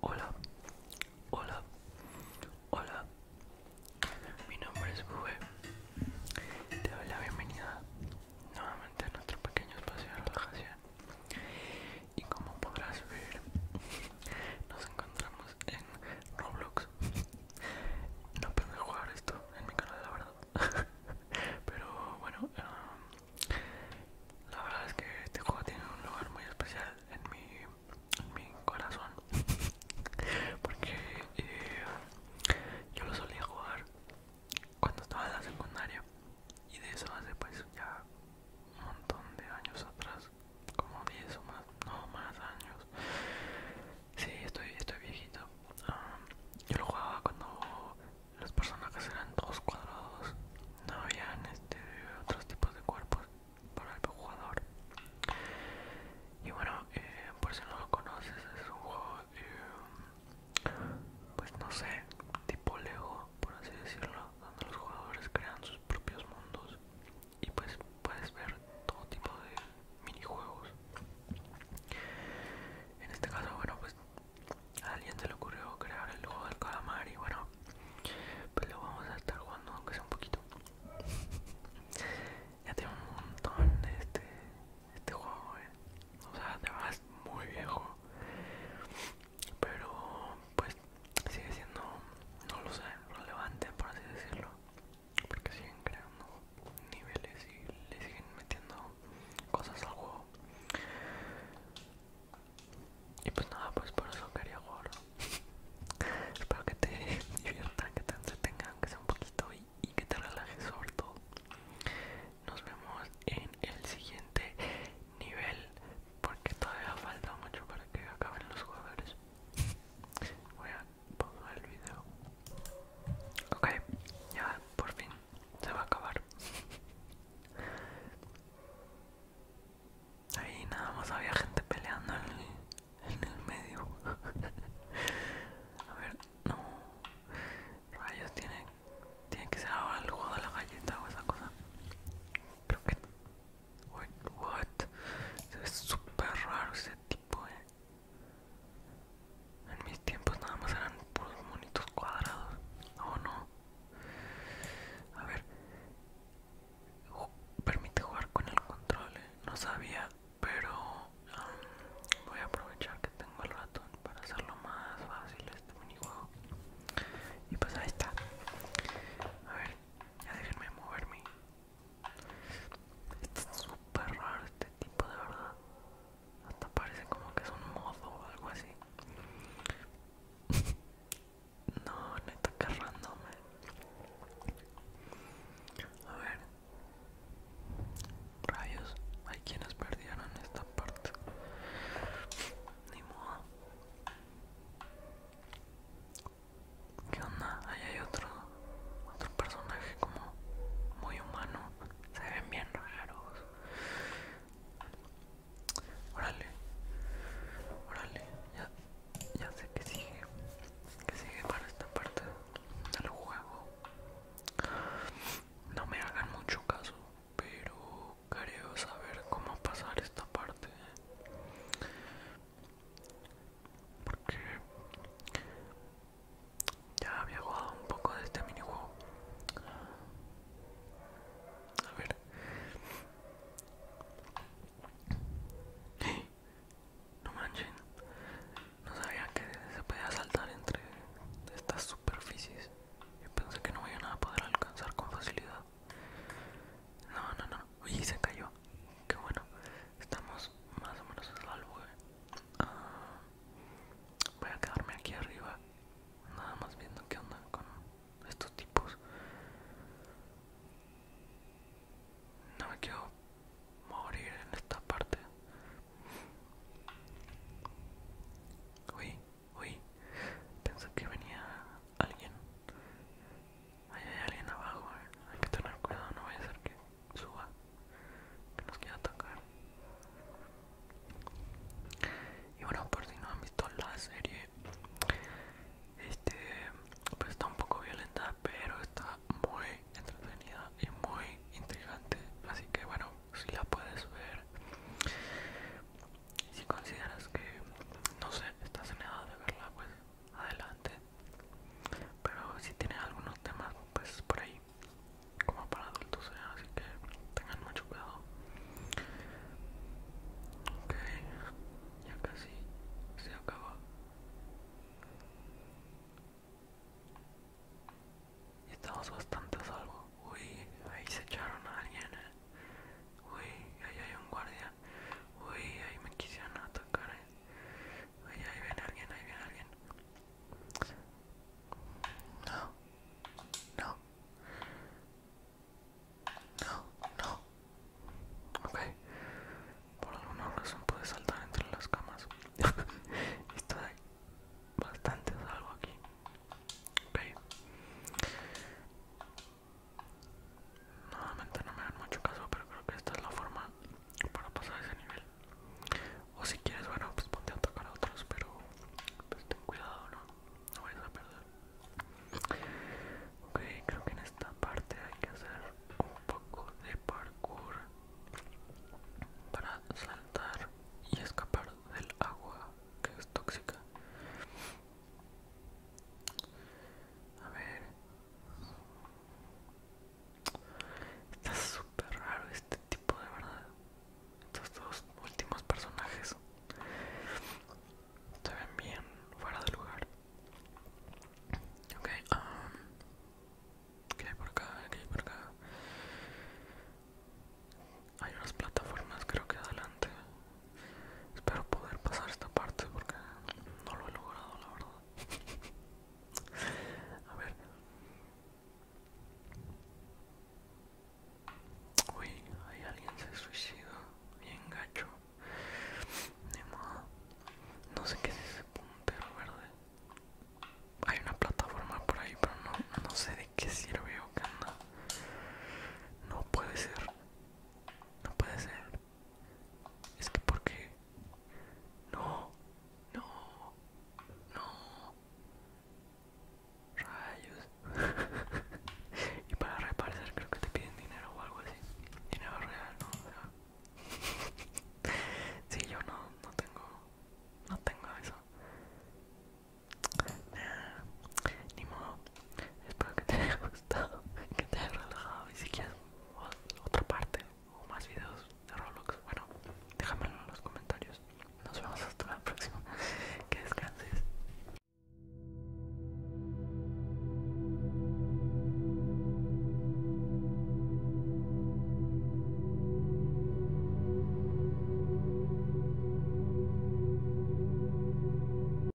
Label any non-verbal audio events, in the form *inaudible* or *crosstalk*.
Hola, hola, hola. Mi nombre es Bube. Te doy la bienvenida nuevamente a nuestro pequeño espacio de relajación. Y como podrás ver, nos encontramos en Roblox. No pensé jugar esto en mi canal, la verdad. *laughs* Pero bueno, em, la verdad es que este juego tiene un lugar muy especial en mi, en mi corazón. *laughs* Porque eh, yo lo solía jugar cuando estaba en la secundaria. Y de eso hace pues ya un montón de años atrás. Como 10 o más, no más años. Sí, estoy, estoy viejito. Ah, yo lo jugaba cuando los personajes eran dos cuadrados no había este, otros tipos de cuerpos para el jugador y bueno eh, por si no lo conoces es un juego eh, pues no sé tipo lego por así decirlo donde los jugadores crean sus propios mundos y pues puedes ver todo tipo de minijuegos en este caso bueno pues a alguien se le ocurrió crear el juego del calamar y bueno pues lo vamos a estar jugando aunque sea un poquito *laughs* ya tengo un montón de este este juego eh. o sea además muy viejo pero pues sigue siendo no lo sé relevante por así decirlo porque siguen creando niveles y le siguen metiendo cosas al juego y pues nada, pues por eso quería jugarlo. *laughs* Espero que te *laughs* diviertan, que te entretengan, que sea un poquito y, que te relajes sobre todo. Nos vemos en el siguiente nivel, porque todavía falta mucho para que acaben los jugadores. *laughs* Voy a pausar el video. Ok, ya por fin se va a acabar. Ahí nada más había gente peleando en el, medio. A ver, no. Rayos, tiene, tiene que ser ahora el juego de la galleta o esa cosa. Creo que. what? es ve súper raro ese tipo, eh. En mis tiempos nada más eran puros monitos cuadrados. ¿o no. A ver. Permite jugar con el control. ¿eh? No sabía, pero um, voy a aprovechar que tengo el ratón para hacerlo más fácil este minijuego. Y pues ahí está. A ver, ya déjenme moverme. Este está súper raro este tipo de verdad. Hasta parece como que es un mozo o algo así. *laughs* no, neta que random. Eh. A ver. Rayos, hay quienes perdieron esta parte. Ni modo. ¿Qué onda? Ahí hay otro, otro personaje como muy humano. Se ven bien raros. Órale. Órale. Ya, sé que sigue. Que sigue para esta parte del juego. No me hagan mucho caso, pero quiero saber cómo pasar esta parte. Porque ya había jugado un poco de este minijuego. A ver. *gasps* No manchen. No sabía que se podía saltar entre estas superficies. Yo pensé que no voy a a poder alcanzar con facilidad. No, no, no. Uy, se cayó. Qué bueno. Estamos más o menos en salvo. Eh. Ah. Voy a quedarme aquí arriba, nada más viendo qué onda con estos tipos. No me quiero morir en esta parte. Uy, uy, pensé que venía alguien. hay alguien abajo, eh. hay que tener cuidado, no voy a ser que suba, que nos quiera atacar. Y bueno, por si no han visto la serie, este, pues está un poco violenta, pero está muy entretenida y muy intrigante. Así que bueno, si la puedes ver, si consideras que, no sé, estás en edad de verla, pues adelante. Pero si tiene algunos temas pues por ahí como para adultos, ¿eh? así que tengan mucho cuidado. Ok, ya casi se acabó. Y estamos bastante a salvo. Uy, ahí se echaron a alguien. ¿eh? Uy, ahí hay un guardia. Uy, ahí me quisieron atacar. ¿eh? Ahí, ahí viene alguien, ahí viene alguien. No, no, no, no. Ok, por alguna razón puede saltar entre las camas. *laughs* Está bastante salvo aquí. Ok, Nuevamente no me dan mucho caso, pero creo que esta es la forma para pasar ese nivel o si quieres bueno pues ponte a tocar otros pero pues ten cuidado no no vayas a perder ok creo que en esta parte hay que hacer un poco de parkour para saltar y escapar del agua que es tóxica a ver Está súper raro este tipo de verdad. Estos dos últimos personajes se ven bien fuera de lugar. Ok, um, ¿qué por acá? ¿Qué hay por acá? Hay unas plataformas creo que adelante. Espero poder pasar esta parte porque no lo he logrado la verdad. A ver. Uy, hay alguien se suicidó. Bien gacho. Ni modo. No sé qué es ese puntero verde. Hay una plataforma por ahí, pero no, no sé de qué sirve o qué anda. No puede ser. No puede ser. Es que porque... No, no, no. Rayos. *laughs* y para repartir creo que te piden dinero o algo así. Dinero real, ¿no? Si *laughs* sí, yo no, no tengo, no tengo eso. ni modo. Espero que te haya gustado, que te haya relajado y si quieres otra parte o más videos de Roblox, bueno, déjamelo en los comentarios. Nos vemos hasta la próxima. Que descanses.